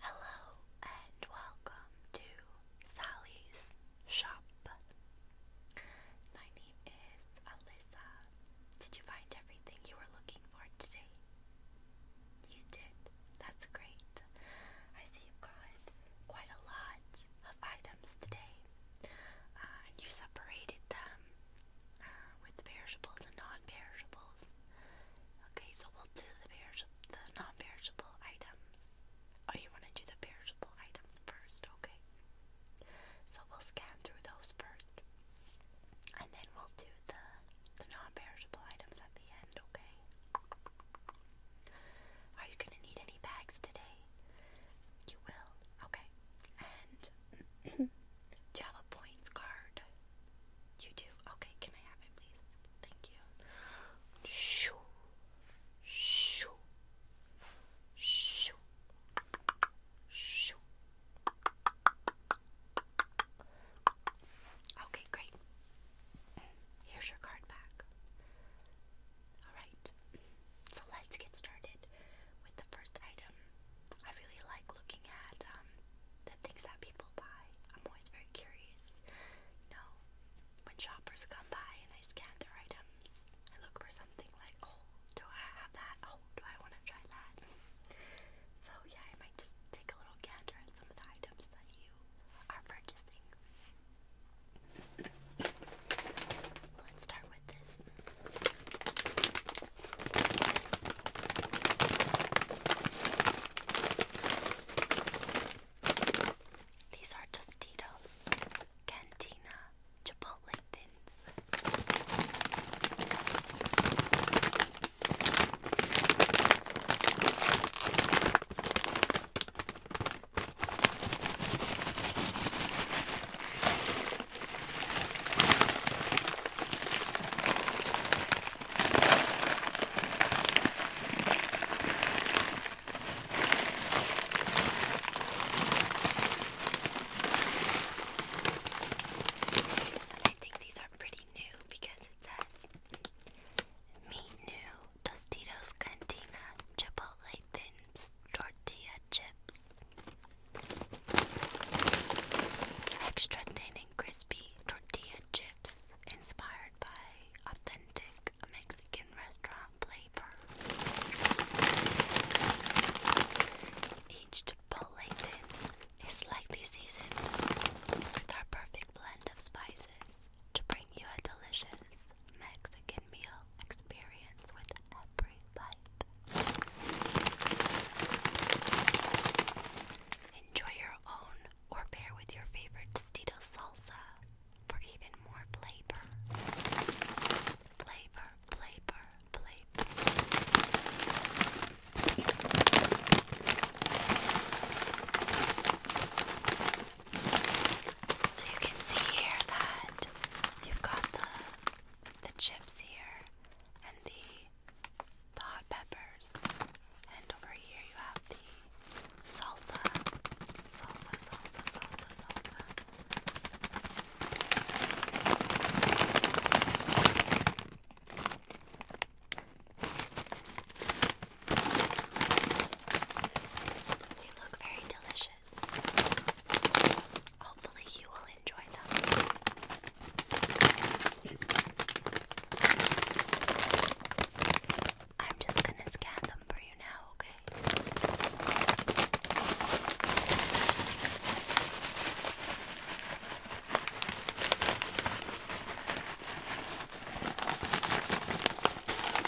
Hello and welcome to Sally's Shop. My name is Alyssa. Did you find everything you were looking for today? You did. That's great. I see you've got quite a lot of items today. Uh, and you separated them uh, with perishables and non-perishables. Okay, so we'll do the perishable, the non-perishable items. Oh, you want to do the perishable items first, okay? So we'll scan through those first, and then we'll do the the non-perishable items at the end okay? Are you gonna need any bags today? You will, okay. And do you have a points card? You do? Okay, can I have it please? Thank you. Shoo. Shoo. Shoo. Shoo. Okay, great here's your card back. Alright, so let's get started with the first item. I really like looking at um, the things that people buy. I'm always very curious. You know, when shoppers come by and I scan their items, I look for something like, oh, do I have that? Oh, do I want to try that? So, yeah, I might just take a little gander at some of the items that you are purchasing. Let's start with this. These are Tostitos Cantina Chipotle and I think these are pretty new because it says meat new Tostitos Cantina Chipotle Thins Tortilla Chips. Extra thin and crispy tortilla chips inspired by authentic Mexican restaurant flavor. Each Chipotle thin is lightly seasoned with our perfect blend of spices to bring you a delicious, Mexican meal experience with every bite. Enjoy your own or pair with your favorite Tostito salsa for even more flavor. Flavor, flavor, flavor. So you can see here that you've got the the chips here and the the hot peppers. And over here you have the salsa. Salsa, salsa, salsa, salsa. They look very delicious. Hopefully, you will enjoy them. I'm just gonna scan them for you now, okay?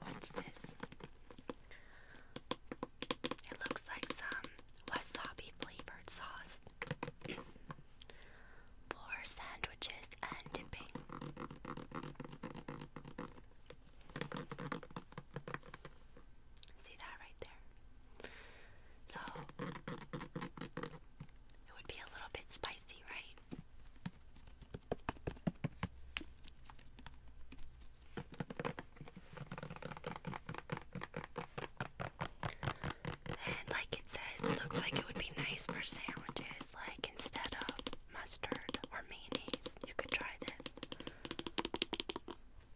What's this? It looks like some wasabi flavored sauce for sandwiches and dipping. See that right there? So, it would be a little bit spicy, right? And like it says, it looks like it would be nice for sandwiches, like instead of mustard or mayonnaise, you could try this.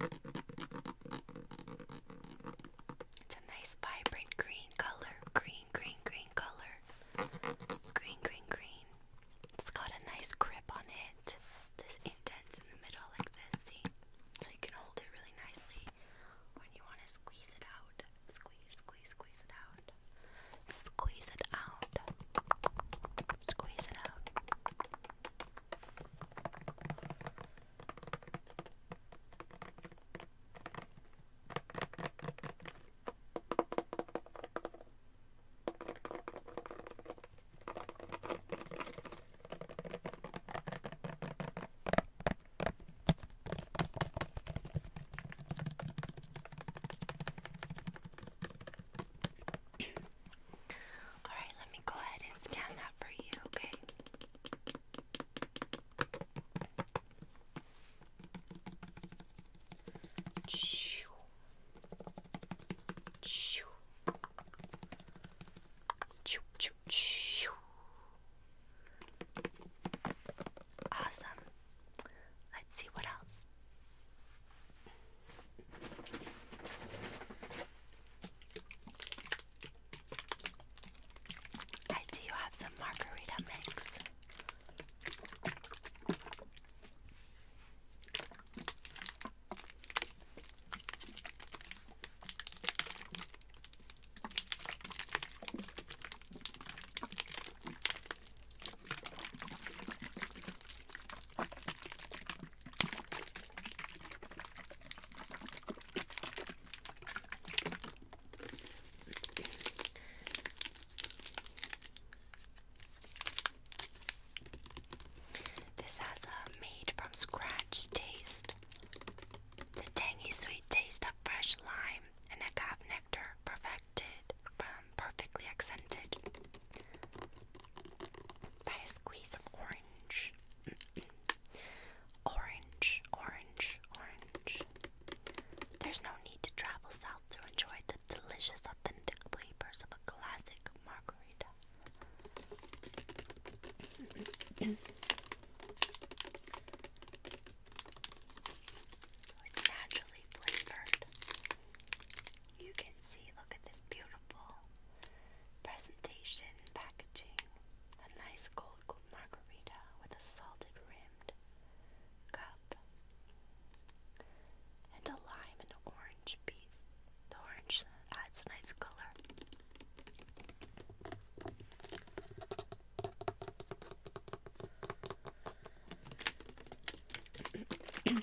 It's a nice vibrant green color. Green, green, green color. Green, green, green. It's got a nice grip on it. This indent's in the middle like this, see? So you can hold it really nicely when you want to squeeze it out. Squeeze, squeeze, squeeze it out. Squeeze it out. Squeeze it out. All right, let me go ahead and scan that for you, okay? Shoo. Shoo. Shoo, shoo, shoo. Awesome. Let's see what else. I see you have some margarita mix. This has a made from scratch taste. The tangy sweet taste of fresh lime and agave nectar perfected from um, perfectly accented by a squeeze of orange orange, orange, orange. There's no need to travel south to enjoy the delicious, authentic flavors of a classic margarita. It's naturally flavored. You can see, look at this beautiful Presentation packaging a nice cold margarita with a salted rimmed cup and a lime and orange piece. The orange adds nice color.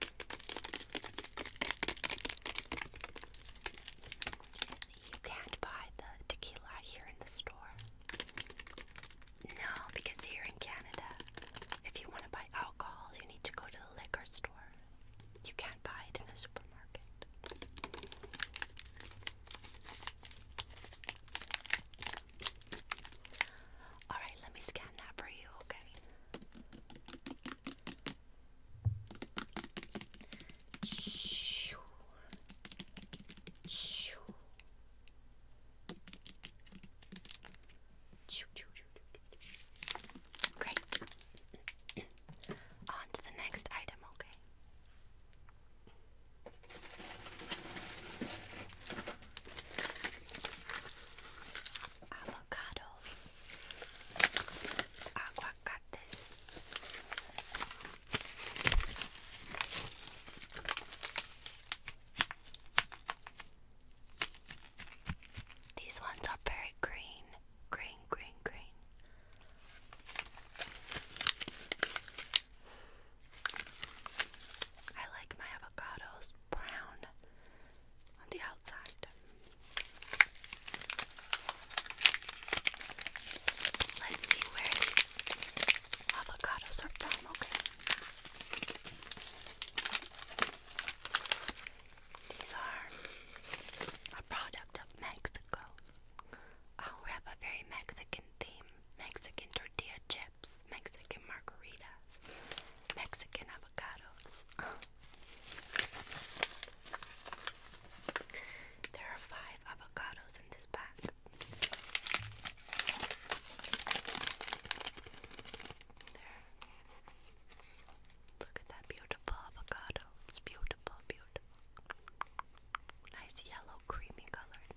You can't buy the tequila here in the store. No, because here in Canada, if you want to buy alcohol, you need to go to the liquor store. You can't buy it in the supermarket. Alright, let me scan that for you, okay? Shoo. Shoo. Shoo, shoo, shoo, shoo. Great. On to the next item, okay? Avocado avocados, aguacates. These ones are very green, green, green, green. I like my avocados brown on the outside. Let's see where these avocados are from, okay? These are a product of Mexico. Oh, we have a very Mexican theme. Mexican tortilla chips, Mexican margarita, Mexican avocados. There are five avocados in this pack. There. Look at that beautiful avocado. It's beautiful, beautiful. Nice yellow, creamy color in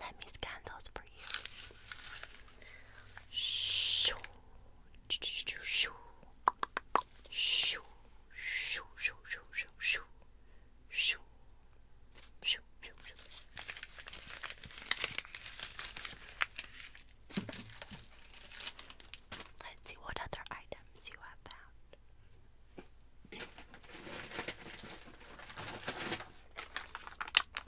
Let me scan those for you. Shoo. Shoo. Shoo. Shoo. Shoo. Shoo. Shoo. Shoo. Shoo. Shoo. Shoo. Shoo. Let's see what other items you have found.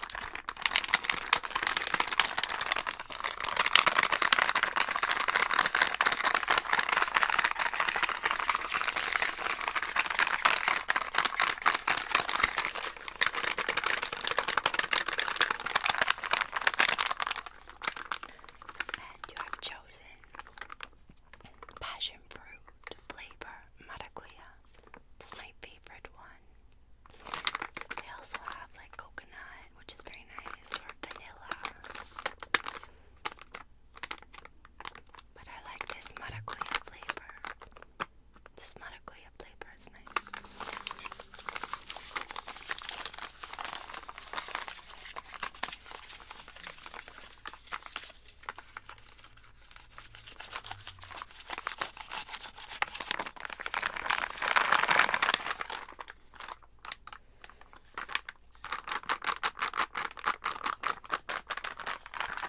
And you have chosen passion fruit flavor maracuya. It's my favorite one. They also have like coconut, which is very nice, or vanilla. But I like this maracuya flavor. This maracuya flavor is nice.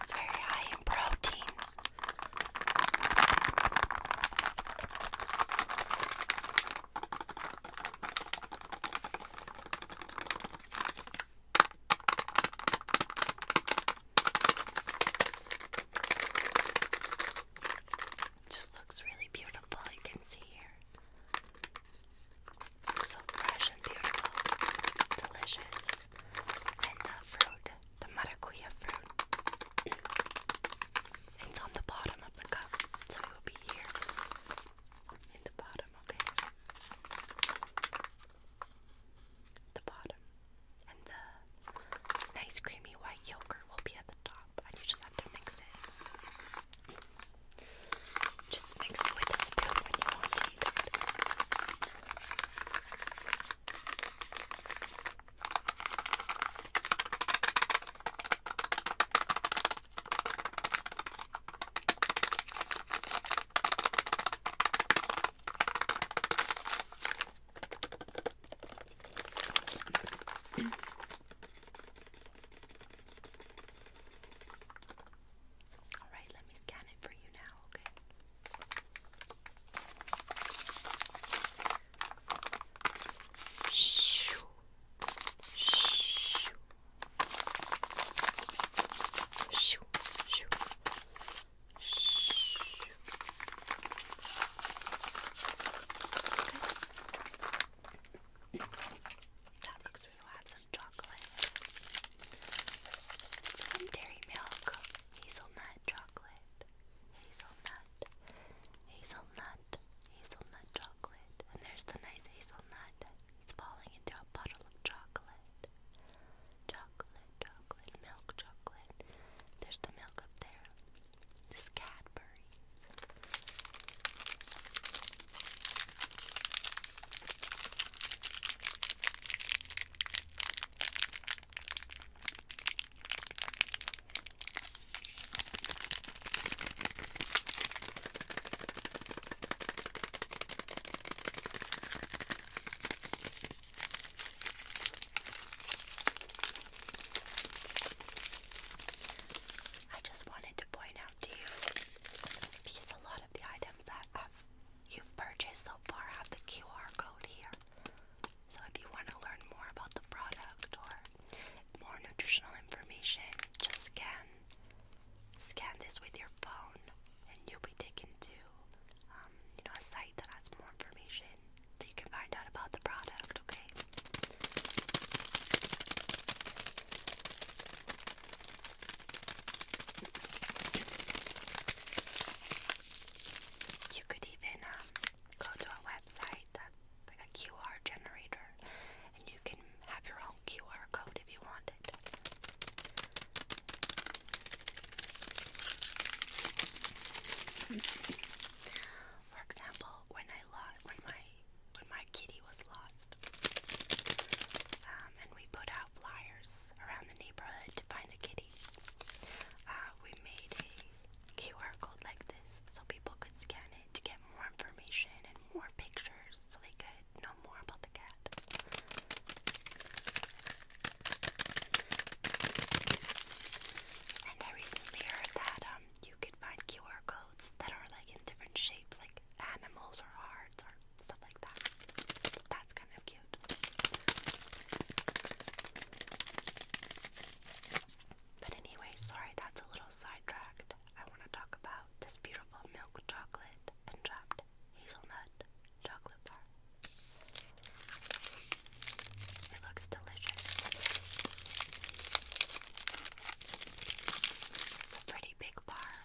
It's very high in protein just looks really beautiful, you can see here. Looks so fresh and beautiful, delicious. And the fruit, the maracuya fruit, it's on the bottom of the cup, so it will be here in the bottom, okay? the bottom, and the nice creamy white yogurt will be at the top, and you just have to mix it. Just mix it with a spoon when you want it. All right, let me scan it for you now, okay? Shoo. Shoo. Shoo. Shoo. Shh. That looks real. Add chocolate. Some dairy milk. Hazelnut chocolate. Hazelnut. Hazelnut. Hazelnut chocolate. And there's the nice hazelnut. It's falling into a bottle of chocolate chocolate, chocolate, milk chocolate. There's the milk up there. This Cadbury. I just wanted to point out to you because a lot of the items that you've purchased so far have the QR code here. So if you want to learn more about the product or more nutritional information, just scan scan this with your phone and you'll be taken to uh, um, you know, a site that has more information so you can find out about the product, okay? You could even um, go to a website that's like a QR generator, and you can have your own QR code if you want it. For example, when I lost, when my when my kitty was lost, um, and we put out flyers around the neighborhood to find the kitty, uh, we made a QR code like this so people could scan it to get more information and more pictures, so they could know more about the cat. And I recently heard that um you could find QR codes that are like in different shapes, like animals or hearts or stuff like that. that's kind of cute. But anyway, sorry that's a little sidetracked. I want to talk about this beautiful milk chocolate and chopped hazelnut chocolate bar. It looks delicious. It's a pretty big bar.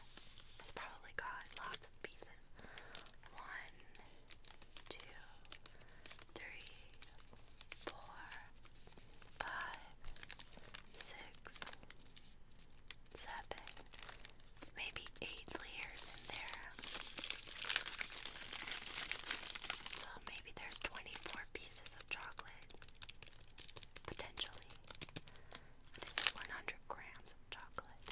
It's probably got lots of pieces. One, two, three, four, five, six, seven, maybe eight layers in there. So maybe there's 24 pieces of chocolate. Potentially. it's 100 grams of chocolate.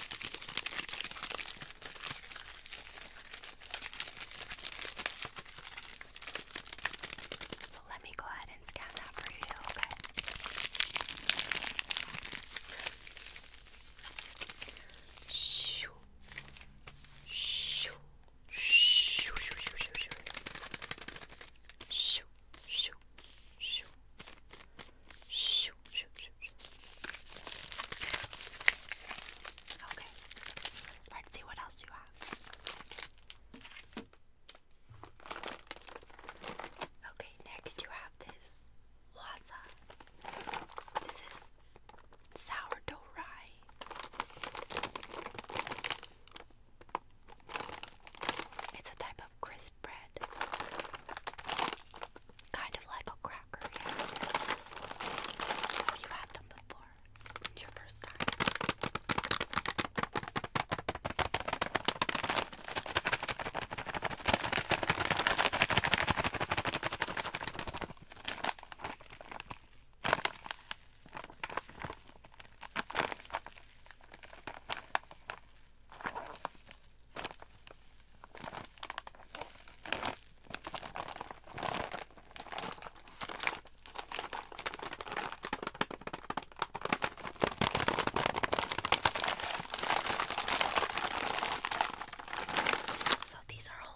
So let me go ahead and scan that for you, okay? Shoo shoo, shoo, shoo, shoo, shoo, shoo, shoo, shoo, shoo, shoo, shoo, shoo. Okay, let's see what else you have. Okay, next you have this waza. This is sourdough rye. It's a type of crisp bread. Kind of like a cracker, yeah. You had them before. Your first time. So these are all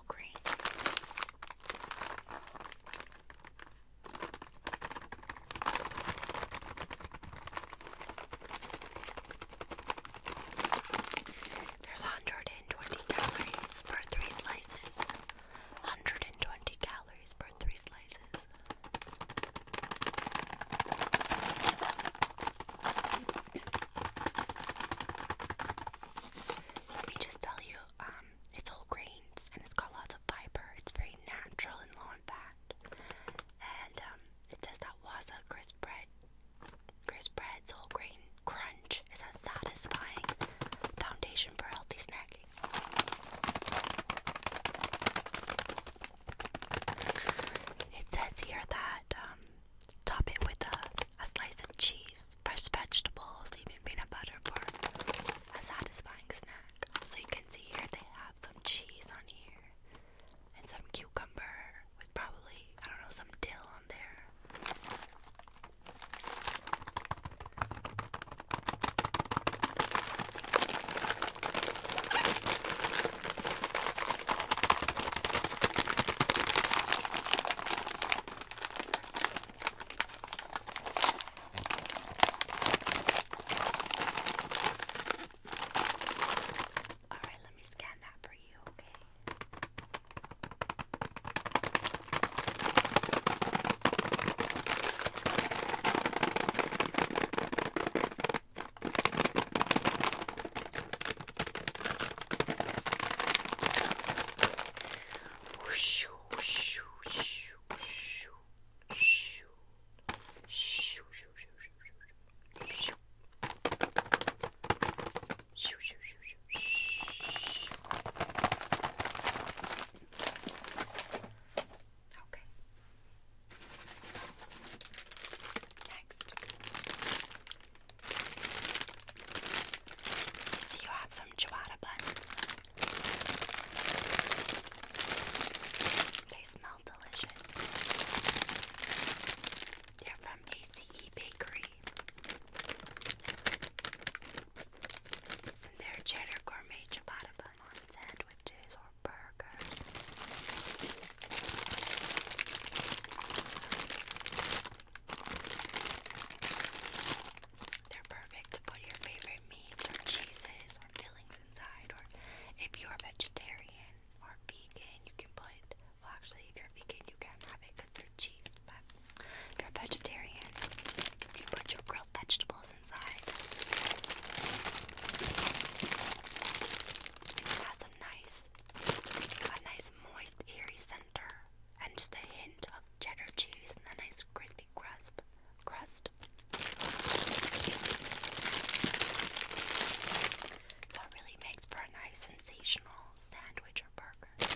there's 120 calories per three slices. 120 calories per three slices. Let me just tell you, um, it's whole grains and it's got lots of fiber. It's very natural and low in fat. And um, it says that Waza crisp bread, crisp bread's whole grain crunch is a satisfying foundation for healthy snacking. It says here that um, top it with a, a slice of cheese, fresh vegetables, even peanut butter for a satisfying snack. So you can see here they have some cheese on here and some cucumber with probably, I don't know, some dill on there. Alright, let me scan that for you, okay? Whoosh, whoosh, whoosh, whoosh, whoosh, whoosh, whoosh, Okay. Next, so you have some ciabatta buns. They smell delicious. They're from ACE Bakery. they're cheddar gourmet ciabatta bun on sandwiches or burgers. They're perfect to put your favorite meats or cheeses or fillings inside. Or if you're a vegetarian or vegan, you can put. Well, actually, if you're vegan, you can have it because they cheese. But if you're a vegetarian, you can put your grilled vegetables inside. It has a nice, a nice moist, airy center and just a hint of cheddar cheese and a nice crispy crust. Crust. So it really makes for a nice sensational sandwich or burger.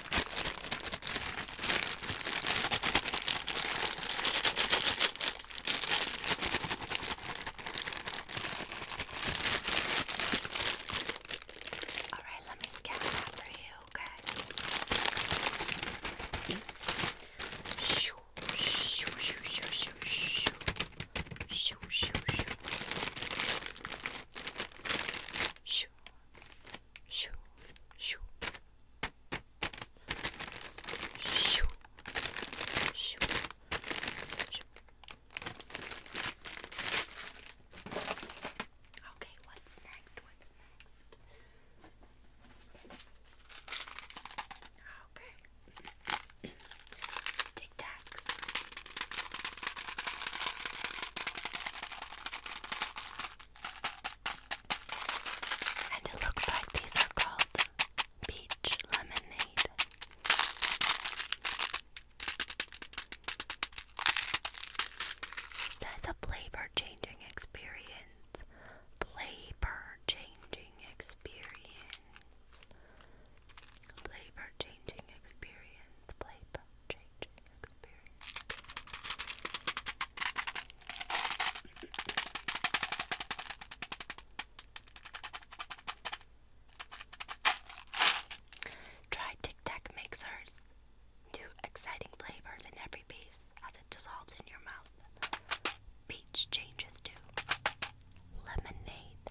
All right, let me scan that for you, okay? Shoo, shoo, shoo, shoo, shoo, shoo, shoo, shoo, shoo, shoo shoo, shoo, shoo, shoo, shoo. Okay, what's next? What's next? Okay. Tic Tacs. And it looks like these are called peach lemonade. That's a flavor changing experience. Flavor changing experience. Flavor changing experience. Flavor changing experience. Try Tic Tac mixers. Two exciting flavors in every piece as it dissolves in your mouth. Peach changes to lemonade.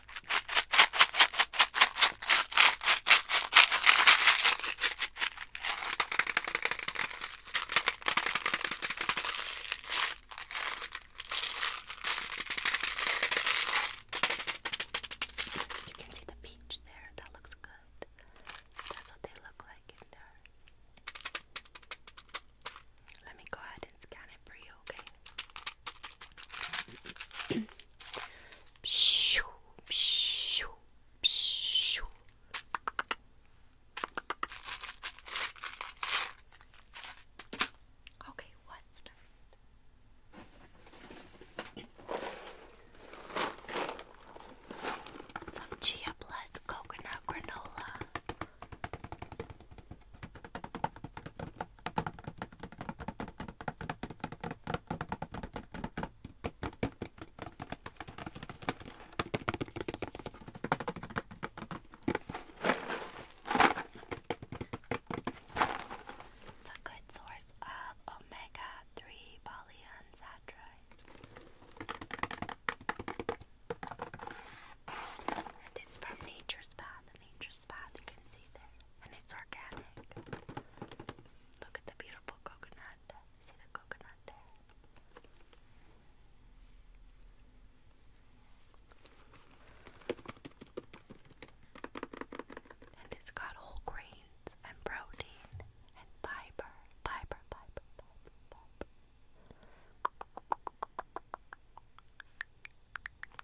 You can see the peach there. That looks good. That's what they look like Let me go ahead and scan it for you, okay? Shoo, shoo, shoo. Okay, what's next? Some chia blessed coconut granola. It's a good source of omega three polyunsaturates. And it's from Nature's Path. Nature's Path, you can see there and it's organic. Look at the beautiful coconut. See the coconut there? And it's got whole grains and protein and fiber. Fiber, fiber, fiber,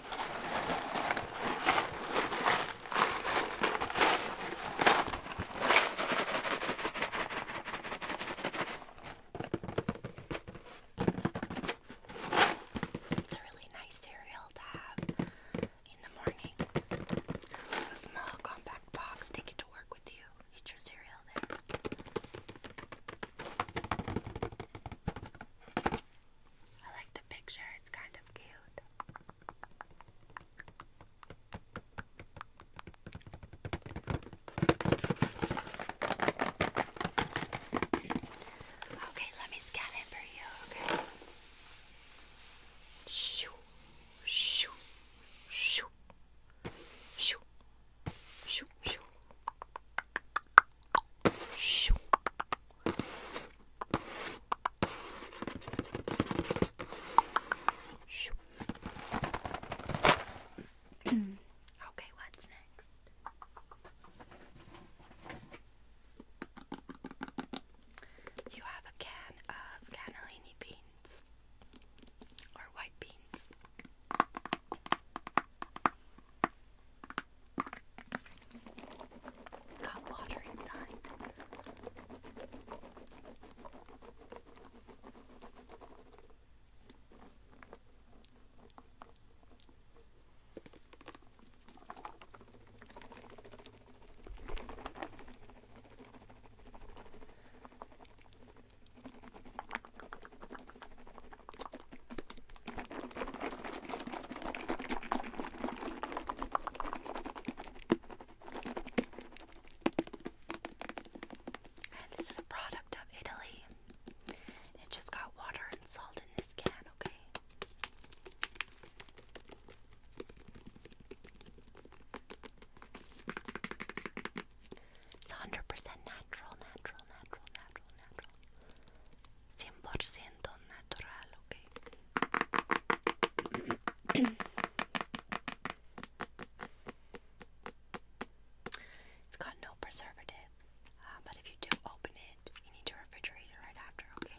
It's a really nice cereal to have in the mornings. Just a small compact box. Take it to work with you. Eat your cereal there. I like the picture, it's kind of cute. Okay, let me scan it for you, okay? Shoo, shoo, shoo, shoo, shoo, shoo okay, what's next? You have a can of cannellini beans or white beans. It's got water inside. And this is a product of Italy. It just got water and salt in this can, okay? It's 100% natural, natural, natural, natural, natural. 100% natural, okay? it's got no preservatives, uh, but if you do open it, you need to refrigerate it right after, okay?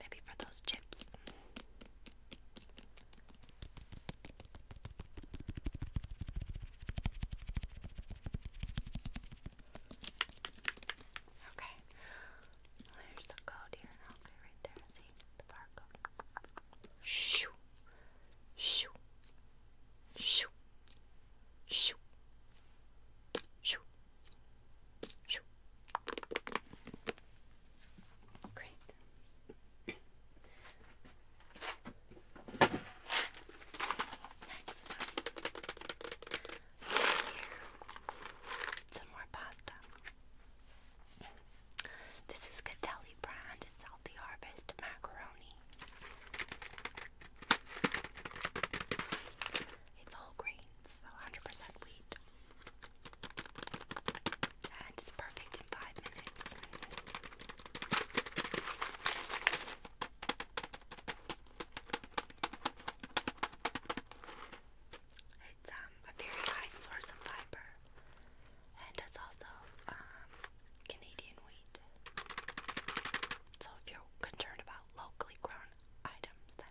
Maybe for those chips. Okay. Well, there's the code here. Okay, right there. See the barcode. Shoo. Shoo. Shoo. Shoo. Shoo. Shoo. Great. Next up, some more pasta. This is Catelli brand. It's Healthy Harvest macaroni. It's whole grains, so 100% wheat. And it's perfect in five minutes. It's um, a very high source of fiber, and it's also um, Canadian wheat. So if you're concerned about locally grown items, then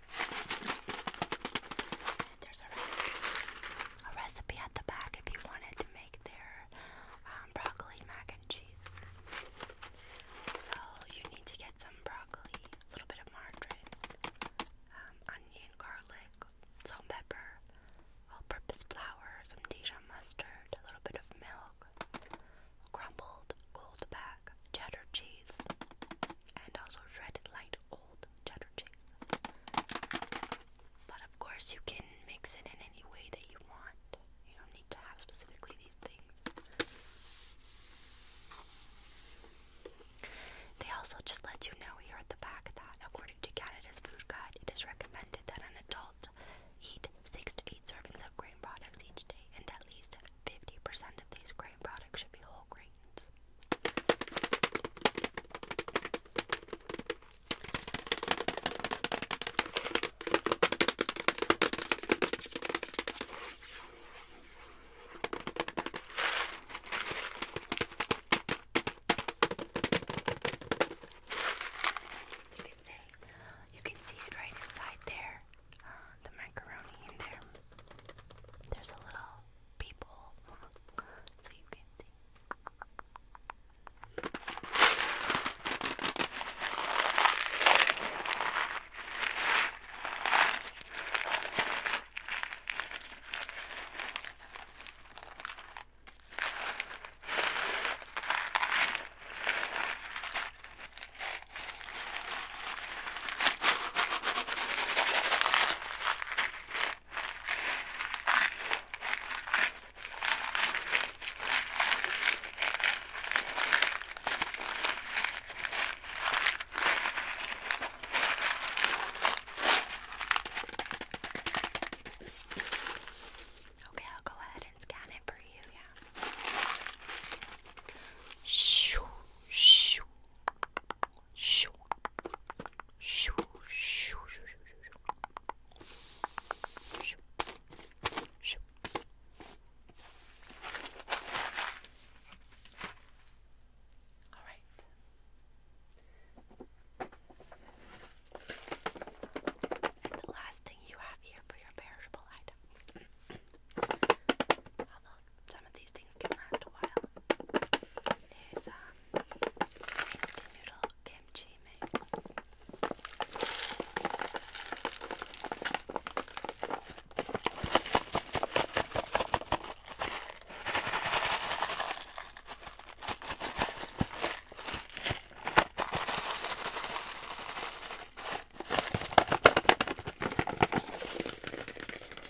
There's a recipe, at the back if you wanted to make their um, broccoli mac and cheese. So you need to get some broccoli, a little bit of margarine, um, onion, garlic, salt, pepper, all-purpose flour, some Dijon mustard, a little bit of milk, crumbled gold bag cheddar cheese and also shredded light old cheddar cheese. But of course, you can mix it in any way that you want. You don't need to have specifically these things. They also just let you know here at the back that, according to Canada's food guide, it is recommended that an adult eat six to eight servings of grain products each day, and at least 50% of these grain products should be whole grains. You can say you can see it right inside there. Uh, the macaroni in there. There's a little people so you can see. Okay, I'll go ahead and scan it for you, yeah. Shoo, shoo. Shoo. Shoo. Shoo. Shoo. Shoo. Shoo. Shoo. All right. And the last thing you have here for your perishable item some of these things can last a while. There's um, instant noodle kimchi mix.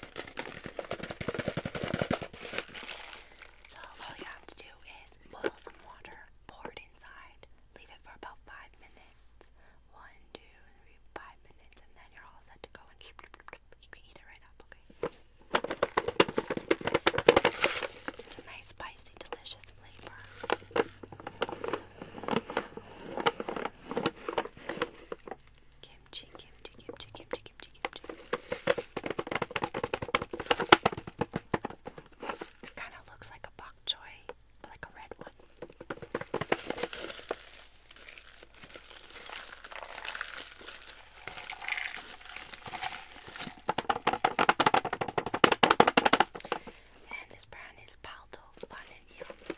So all you have to do is boil some water, pour it inside, leave it for about five minutes. One, two, three, five minutes, and then you're all set to go and you can eat it right up, okay? It's a nice spicy, delicious flavor. Give chicken, chicken, chicken, chicken, chicken, chicken. It kind of looks like a bok choy, but like a red one. And this brand is Palto Fun and Yum.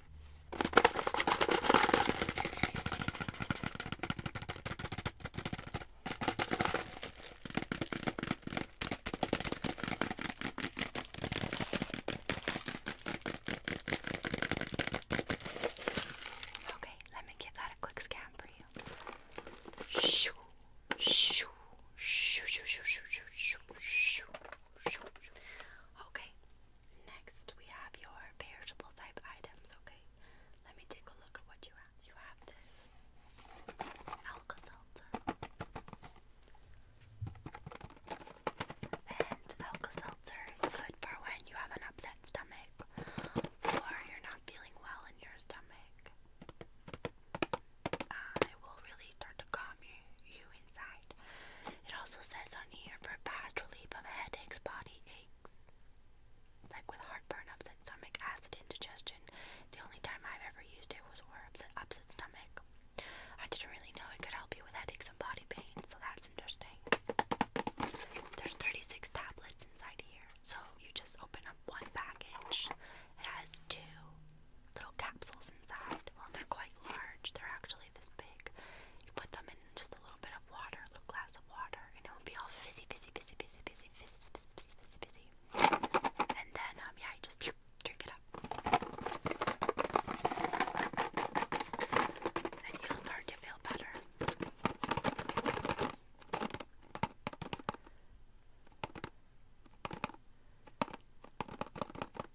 Okay, let me give that a quick scan for you. Shoo, shoo, shoo, shoo, shoo, shoo, shoo, shoo, shoo, shoo. Okay, Next, we have your perishable type items, okay? Let me take a look at what you have. You have this Alka Seltzer. And Alka Seltzer is good for when you have an upset stomach or you're not feeling well in your stomach. Uh, it will really start to calm you inside. It also says on here for fast relief of headaches, body aches, like with heartburn, upset stomach, acid indigestion. The only time I've ever used it was for upset stomach. I didn't really know it could help you with headaches and body pain, so that's interesting. There's 36 tablets inside here, so you just open up one package. It has two little capsules inside. Well, they're quite large. They're actually usually this big. You put them in just a little bit of water, a little glass of water, and it will be all fizzy, fizzy, fizzy, fizzy, fizzy, fizzy, fizzy, fizzy, fizzy. And then, um, yeah, you just drink it up. And you'll start to feel better.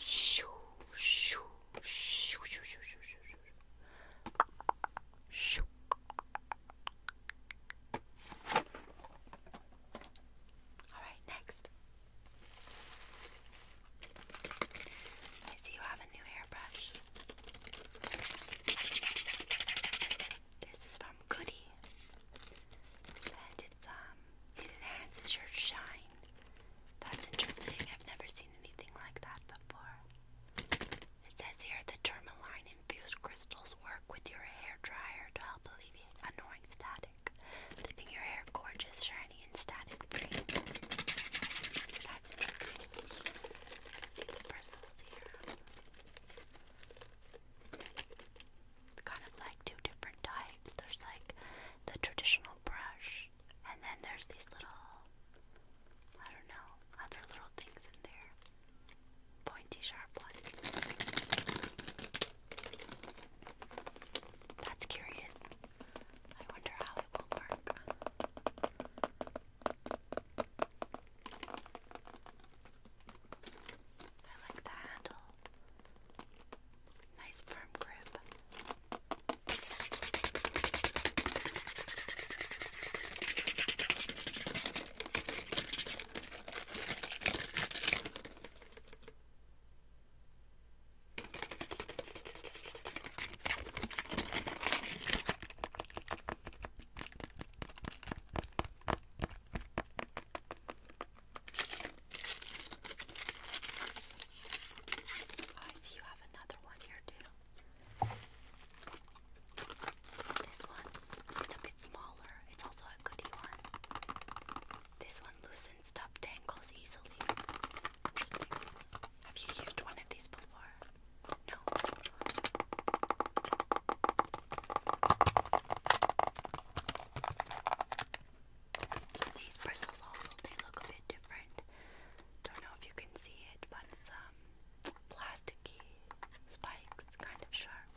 Shoo, shoo, shoo, shoo, shoo, shoo, shoo, shoo. All right, next. I see you have a new hairbrush. This is from Goody. And it's um it enhances your shine. That's interesting. I've never seen anything like that before. It says here the tourmaline infused crystals work with your hair dryer to help alleviate annoying static, leaving your hair gorgeous, shiny, and static free. That's interesting. See here kind of like two different types. There's like the traditional brush, and then there's these little, I don't know, other little things in there. Pointy, sharp ones. That's curious. I wonder how it will work. I like the handle. Nice firm grip. Oh, I see you have another one here too. This one, it's a bit smaller. It's also a goodie one. This one loosens up tangles easily. Interesting. Have you used one of these before? No. So these bristles also they look a bit different. Don't know if you can see it, but it's um plasticky spikes, kind of sharp.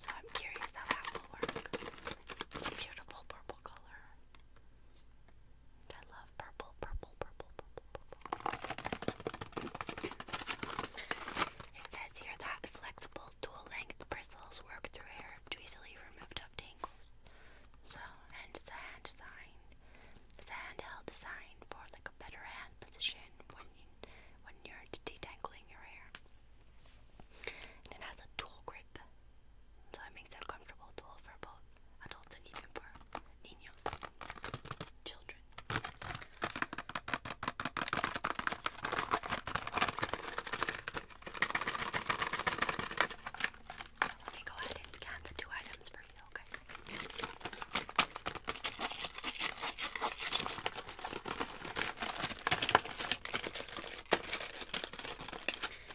So I'm curious how that will work. It's a beautiful purple color. I love purple, purple, purple, purple, purple. It says here that flexible dual length bristles work through hair to easily remove tough tangles. So, and it's hand design. It's handheld design for like a better hand position when you, when you're detangling your hair. And it has a dual grip, so it makes it a comfortable tool for both adults and even for niños, children. Let me go ahead and scan the two items for you, okay?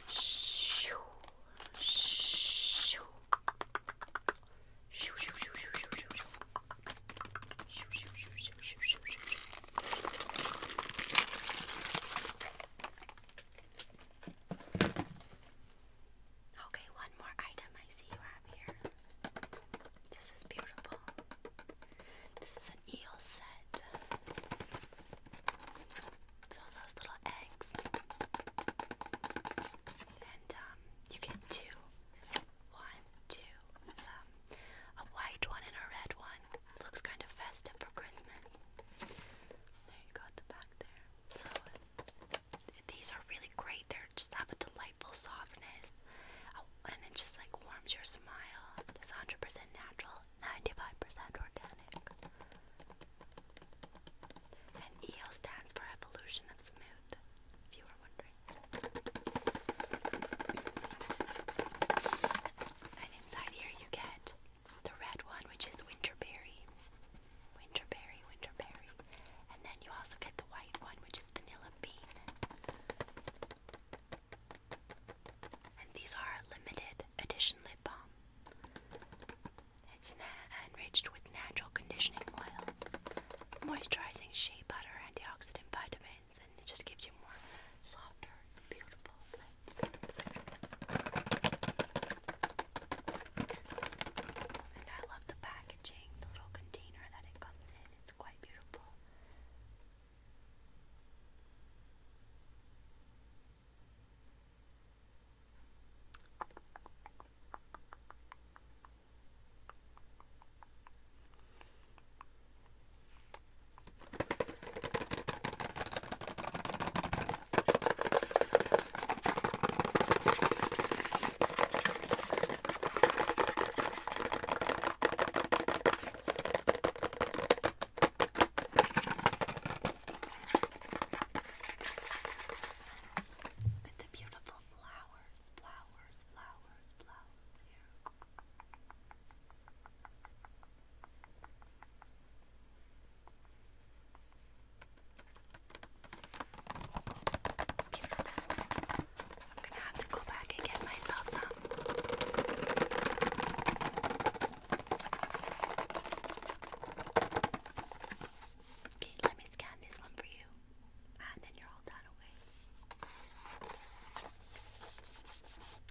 Shoo, shoo, Shoo shoo shoo shoo shoo shoo shoo. Shoo shoo shoo shoo shoo shoo shoo. Okay, one more item I see you have here. This is beautiful. This is an eel set. So those little eggs. And um you get two one, two, some. A white one and a red one. Looks kind of festive for Christmas. There you go at the back there. So these are really great. They just have a delightful softness. Oh, and it just like warms your smile. It's 100% natural, 95% organic. And EO stands for Evolution of Smooth, if you were wondering. And inside here you get the red one, which is winterberry. Winterberry, winterberry. And then you also get the white one, which is vanilla bean. And these are limited edition lip balm. It's enriched with natural conditioning oil moisturizing shea butter, antioxidant vitamins, and it just gives you more softer, beautiful And I love the packaging, the little container that it comes in. It's quite beautiful. Look at the beautiful flowers flowers, flowers, flowers here. I'm gonna have to go back and get myself some. Okay, let me scan this one for you. And ah, then you're all done, okay?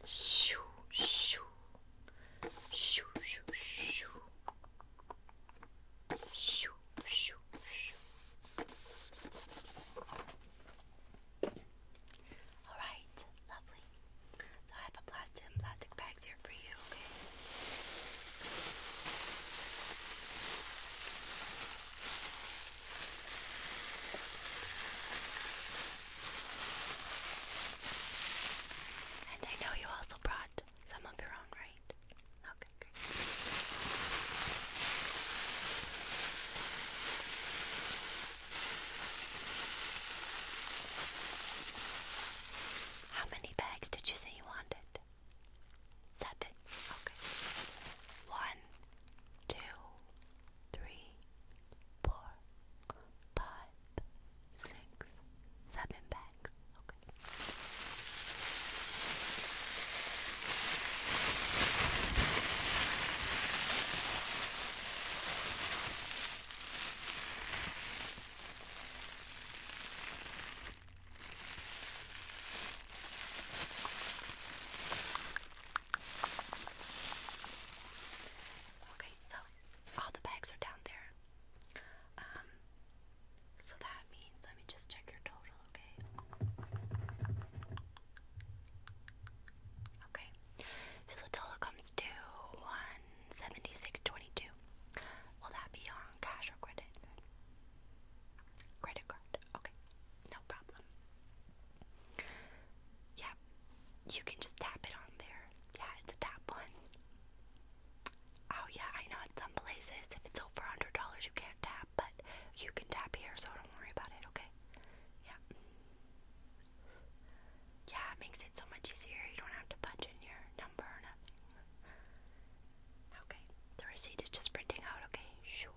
Shoo, shoo, shoo, shoo, shoo, shoo, shoo, shoo. All right, lovely. So I have a plastic and plastic bags here for you, okay? And I know you also brought some of your own, right? Okay, How many bags did you say you wanted? Seven. Okay. One, two, three, four, five, six, seven bags. Okay. Okay, so all the bags are down there. Um, so that means let me just check your total, okay? Okay. So the total comes to one seventy six twenty two. Will that be on cash or credit? Credit card. Okay. No problem. Yeah. You can just tap it on there. Yeah, it's a tap one. Oh yeah, I know at some places if it's over hundred dollars you can't tap, but you can tap here, so don't worry about it, okay? Yeah. Yeah, it makes it so much easier. You don't have to punch in your number or nothing. Okay. The receipt is just printing out, okay? Shoo.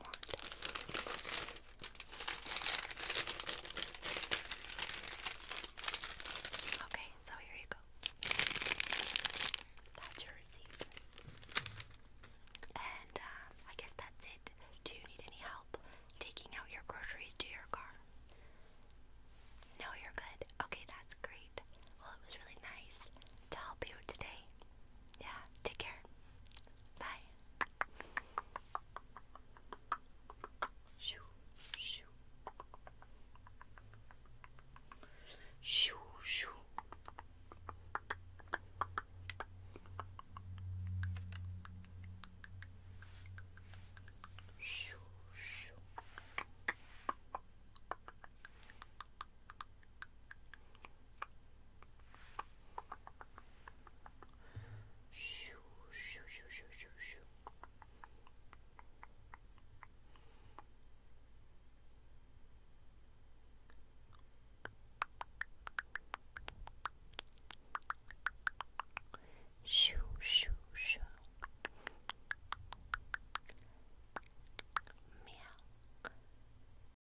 want. Okay, so here you go. That's your receipt. And um, I guess that's it. Do you need any help taking out your groceries to your car? No, you're good. Okay, that's great. Well, it was really nice to help you today. Yeah, take care. Bye. Shoo, shoo. Shoo, shoo. Shoo, shoo. Shoo, shoo, shoo, shoo, shoo, shoo. Shoo, shoo, shoo. Meow.